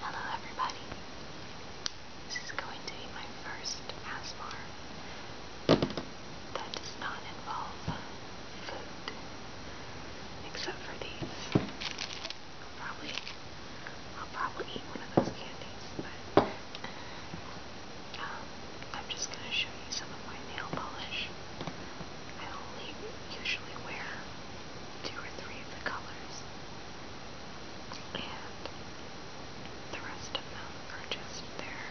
Hello everybody. This is going to be my first ASMR that does not involve food. Except for these. Probably I'll probably eat one of those candies, but um, I'm just gonna show you some of my nail polish. I only usually wear two or three of the colors, and the rest of them are just there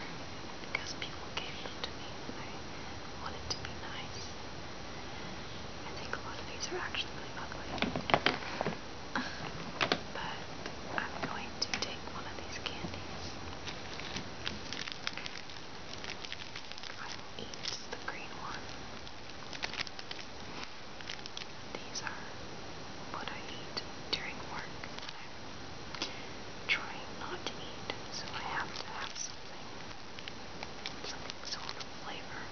because people gave them to me and I wanted to be nice. I think a lot of these are actually really ugly. But I'm going to take one of these candies. I eats the green one. These are what I eat during work when I'm trying not to eat, so I have to have something, something sort of flavor.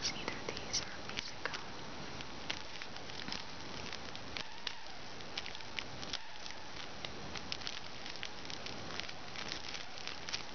It's either these or a piece of gum.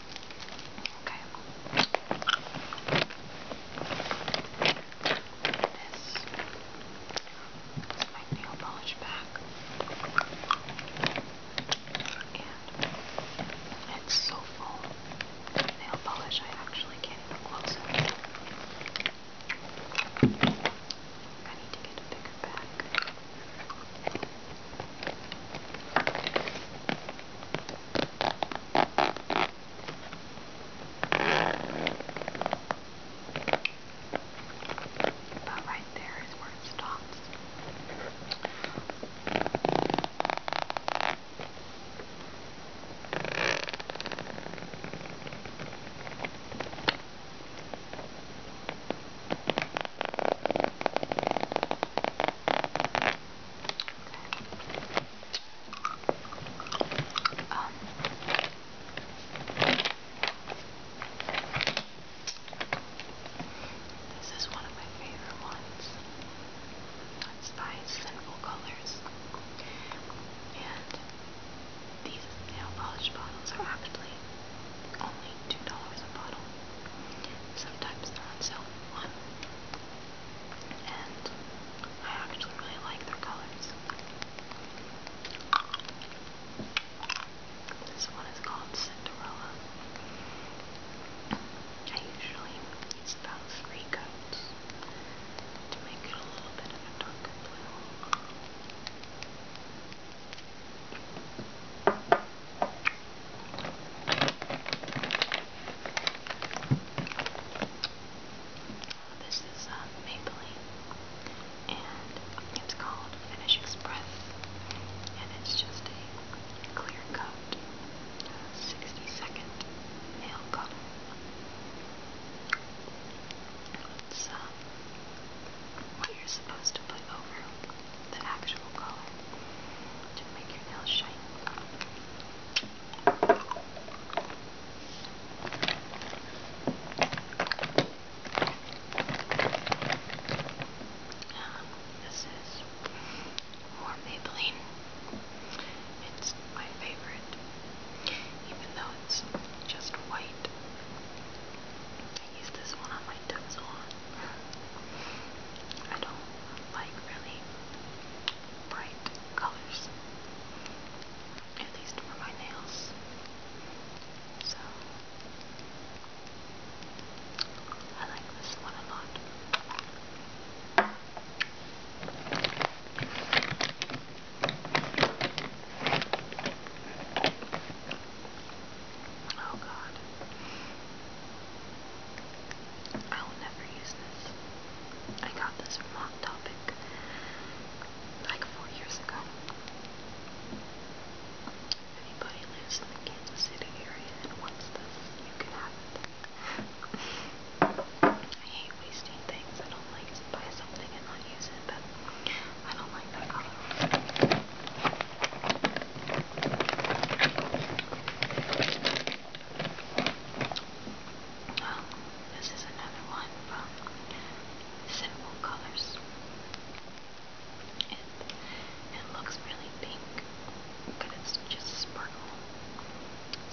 Okay. This is my nail polish back. And it's so full of nail polish I actually can't even close it. I need to get a bigger bag. But right there is where it stops. Um, this is one of my favorite ones. It's by Sinful Colors. And these nail polish bottles are actually only $2 a bottle. Sometimes they're on sale for one and I actually really like their colors. This one is called Cinderella. I usually use about three coats to make it a little bit darker this is um, maple, Maybelline, and it's called Finish Express, and it's just a clear coat, 60 second nail color. It's um, what you're supposed to put over the actual color to make your nails shine. Um, this is more Maybelline. It's my favorite, even though it's just white. I use this one on my windows on. I don't like really bright colors, at least for my nails. So, I like this one a lot. Oh god. I will never use this. I got this from Hot Topic like four years ago. If anybody lives in the Kansas City area and wants this, you can have it. I hate wasting things. I don't like to buy something and not use it, but I don't like that color. Oh, this is another one from Simple Colors. It, it looks really pink, but it's just sparkle.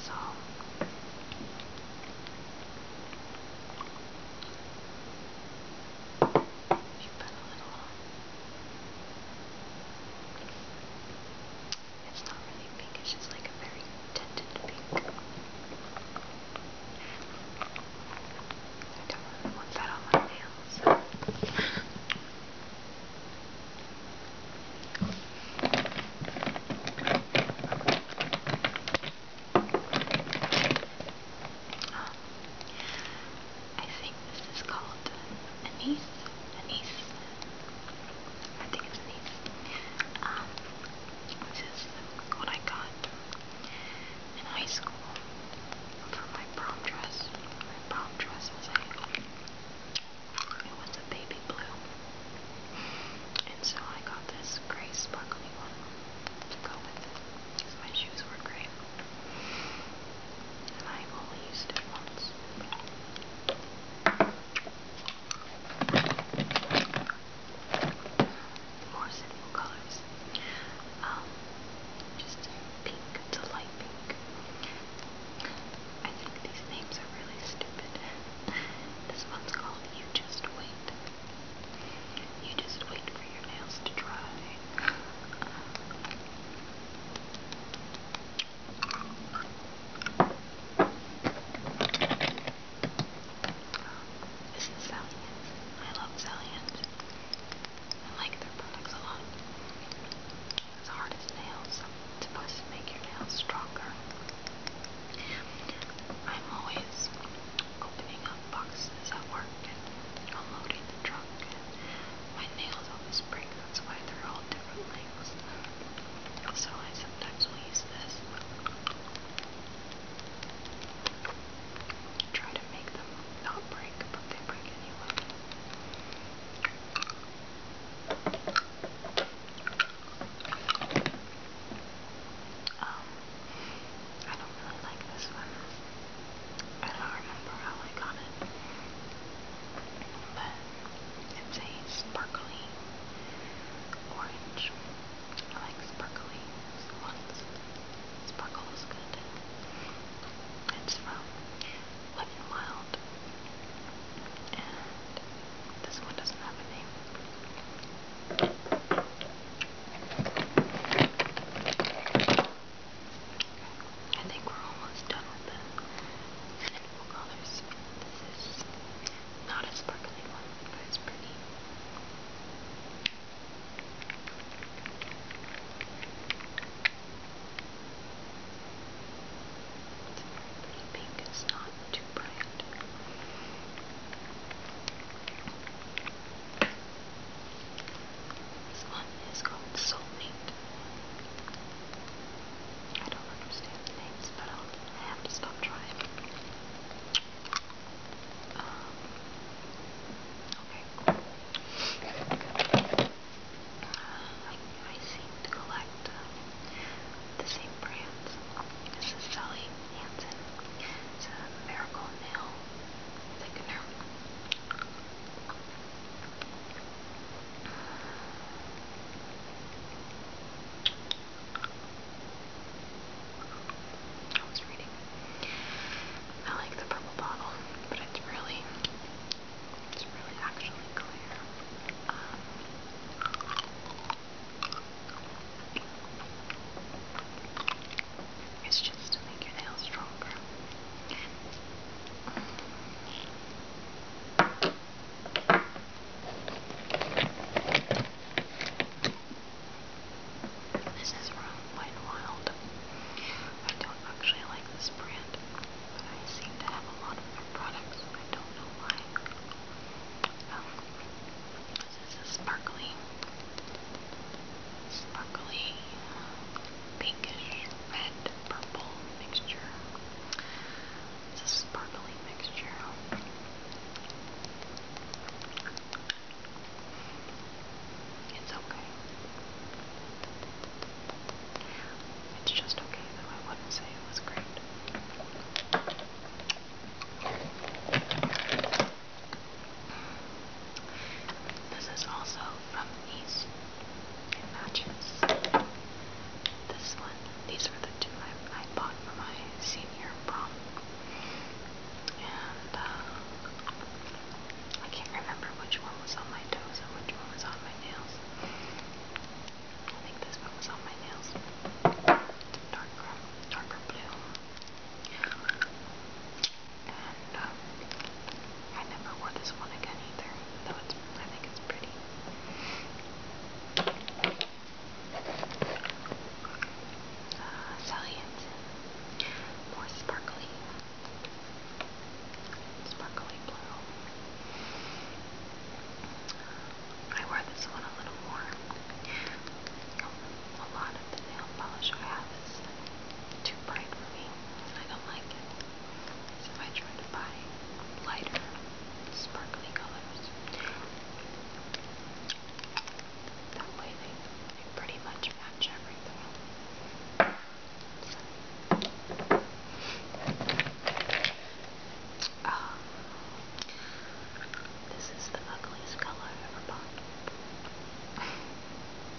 So, you put a little on. It's not really pink, it's just like a very tinted pink. I don't really want that on my nails. um, I think this is called anise. Anise. I think it's anise. Um, this is what I got in high school for my prom dress. My prom dress was a it was a baby blue. And so I got this gray sparkly one to go with it. Because my shoes were gray. I've only used it once. More simple colors. Um, just pink to light pink. I think these names are really stupid. This one's called You Just Wait. You just wait for your nails to dry. This is Salient. I love Salient. I like their products a lot. It's hard as nails. It's supposed to make your nails stronger. I'm always opening up boxes at work and unloading the truck. My nails always break, that's why they're all different lengths. So I sometimes will use this. Try to make them not break, but they break anyway. Um, I don't really like this one. I don't remember how I got it. But it's a sparkly orange. I like sparkly ones. Sparkle is good. It's from Wet n Wild. And this one doesn't have a name. I think we're almost done with the animal colors. This is not a sparkly one, but it's pretty. It's pretty pink, it's not too bright. This one is called Soulmate. I don't understand names, but i have to stop trying. Um, okay, I, I collect um, the same brands. This Sally Hansen. It's a Miracle Nail Thickener. I was reading. I like the purple bottle, but it's really, it's really actually clear. Um, it's just to make your nails stronger. This is from Wet Wild. I don't actually like this brand, but I seem to have a lot of their products. I don't know why. Um, this is sparkly sparkly, pinkish, red, purple mixture. It's a sparkly mixture. It's okay. It's just okay, though I wouldn't say it was great. This is also from East. It matches this one. These were the two I, bought for my senior prom. And uh, I can't remember which one was on my toes and which one was on my nails. I think this one was on my nails. Darker, darker blue and um, I never wore this one again either, though it's, I think it's pretty. Uh, salient, more sparkly, sparkly blue. I wear this one a little more. A lot of the nail polish I have is too bright for me. I don't like it. So I tried to buy lighter, sparkly colors. That way they, pretty much match everything. So. Ah, this is the ugliest color ever bought.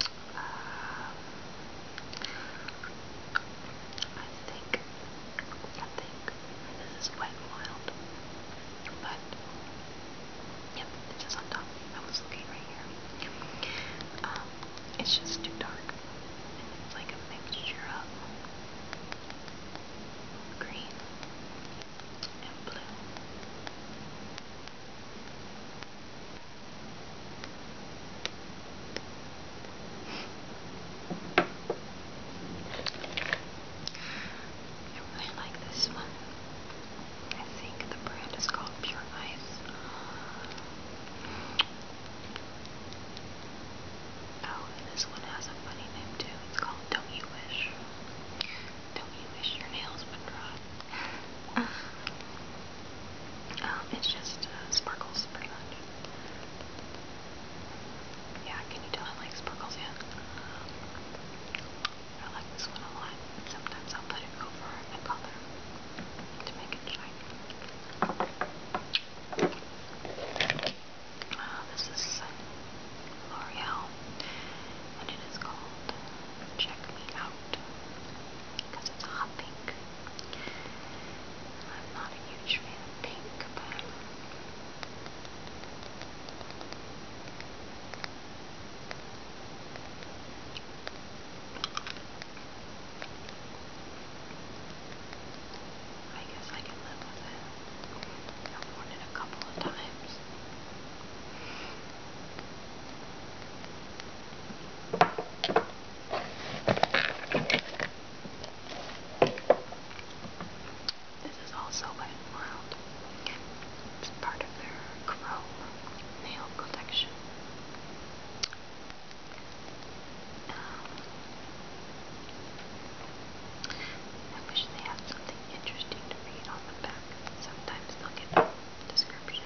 I think, I think this is Wet n Wild, but yep, it's just on top. I was looking right here. Um, it's just too dark, and it's like a mixture of green and blue. I really like this one. I think the brand is called Pure Ice. Oh, and this one has a funny name too. It's called Don't You Wish. Don't You Wish Your Nails Would Dry. Um, um, it's just uh, sparkles, pretty much. Yeah, can you tell I like sparkles yet? I like this one a lot. Sometimes I'll put it over a color to make it shine. Uh, this is L'Oreal, and it is called check me out because it's a hot pink. I'm not a huge fan of pink, but I guess I can live with it. I've worn it a couple of times. This is also Wet n Wild. It's part of their Crow nail collection. Um, I wish they had something interesting to read on the back. Sometimes they'll get description.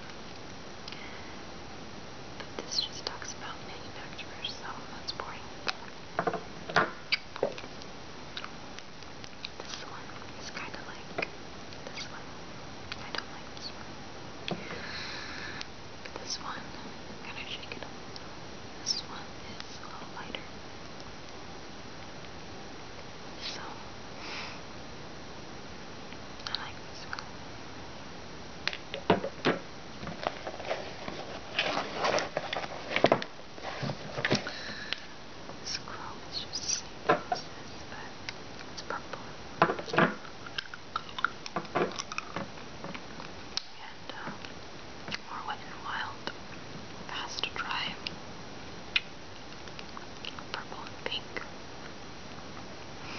But this just talks about manufacturers, so that's boring. This one is kind of like this one. I don't like this one. this one, I'm shake it up. This one is a little lighter. So, I like this one. This crop is just the same it's purple. And, more um, wild, fast to purple and pink. We're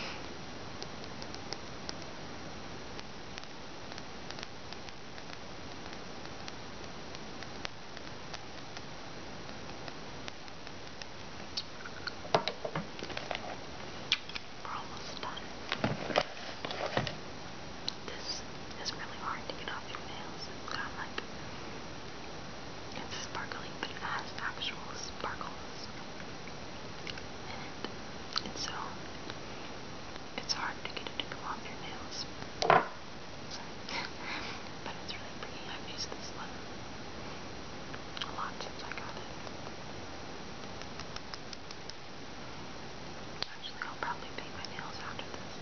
almost done. This is really hard to get off your nails. It's got like it's sparkly, but it has actual sparkles in it. And so, it's hard to get it to go on your nails. but it's really pretty. I've used this a lot since I got it. Actually, I'll probably paint my nails after this.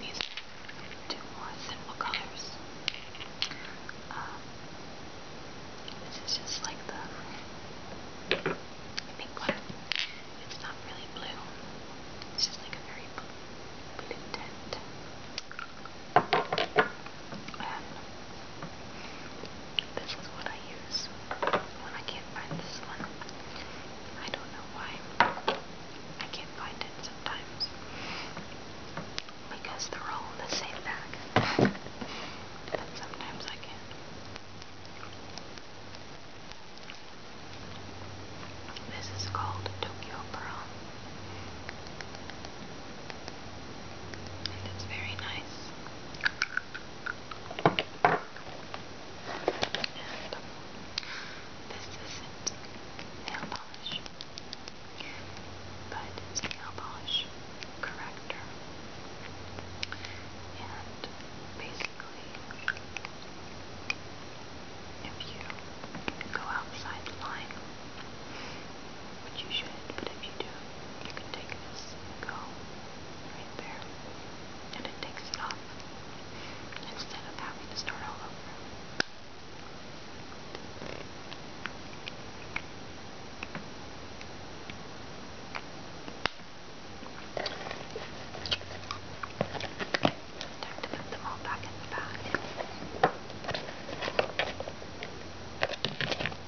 These are two more simple colors. Um, this is just like the pink one. It's not really blue. It's just like a very blue, blue tint this is what I use when I can't find this one. I don't know why I can't find it sometimes. Because they're all in the same bag. but sometimes I can. This is called Tokyo Pearl. And it's very nice. And this isn't nail polish, but nail polish corrector. And basically, if you go outside the line, which you should, but if you do, you can take this go right there, and it takes it off instead of having to start all over. Time to put them all back in the bag.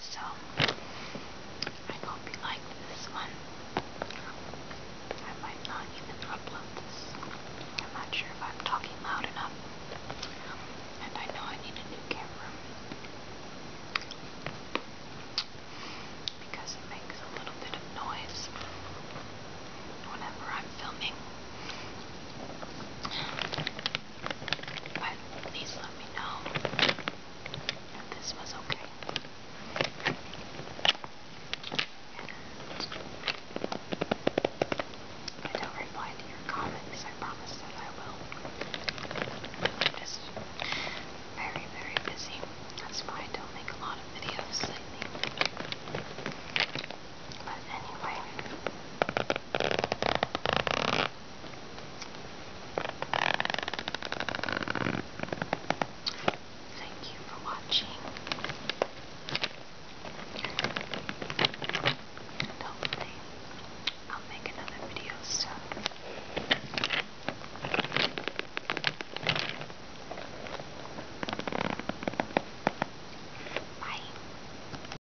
So, I hope you liked this one. I might not even upload this. I'm not sure if I'm talking loud enough. And I know I need a new camera. Because it makes a little bit of noise whenever I'm filming please let me know that this was okay. I don't reply to comments. I promise that I will. just very, very busy. That's why I don't make a lot of videos But anyway, Thank you for watching. And hopefully, I'll make another video soon. Bye.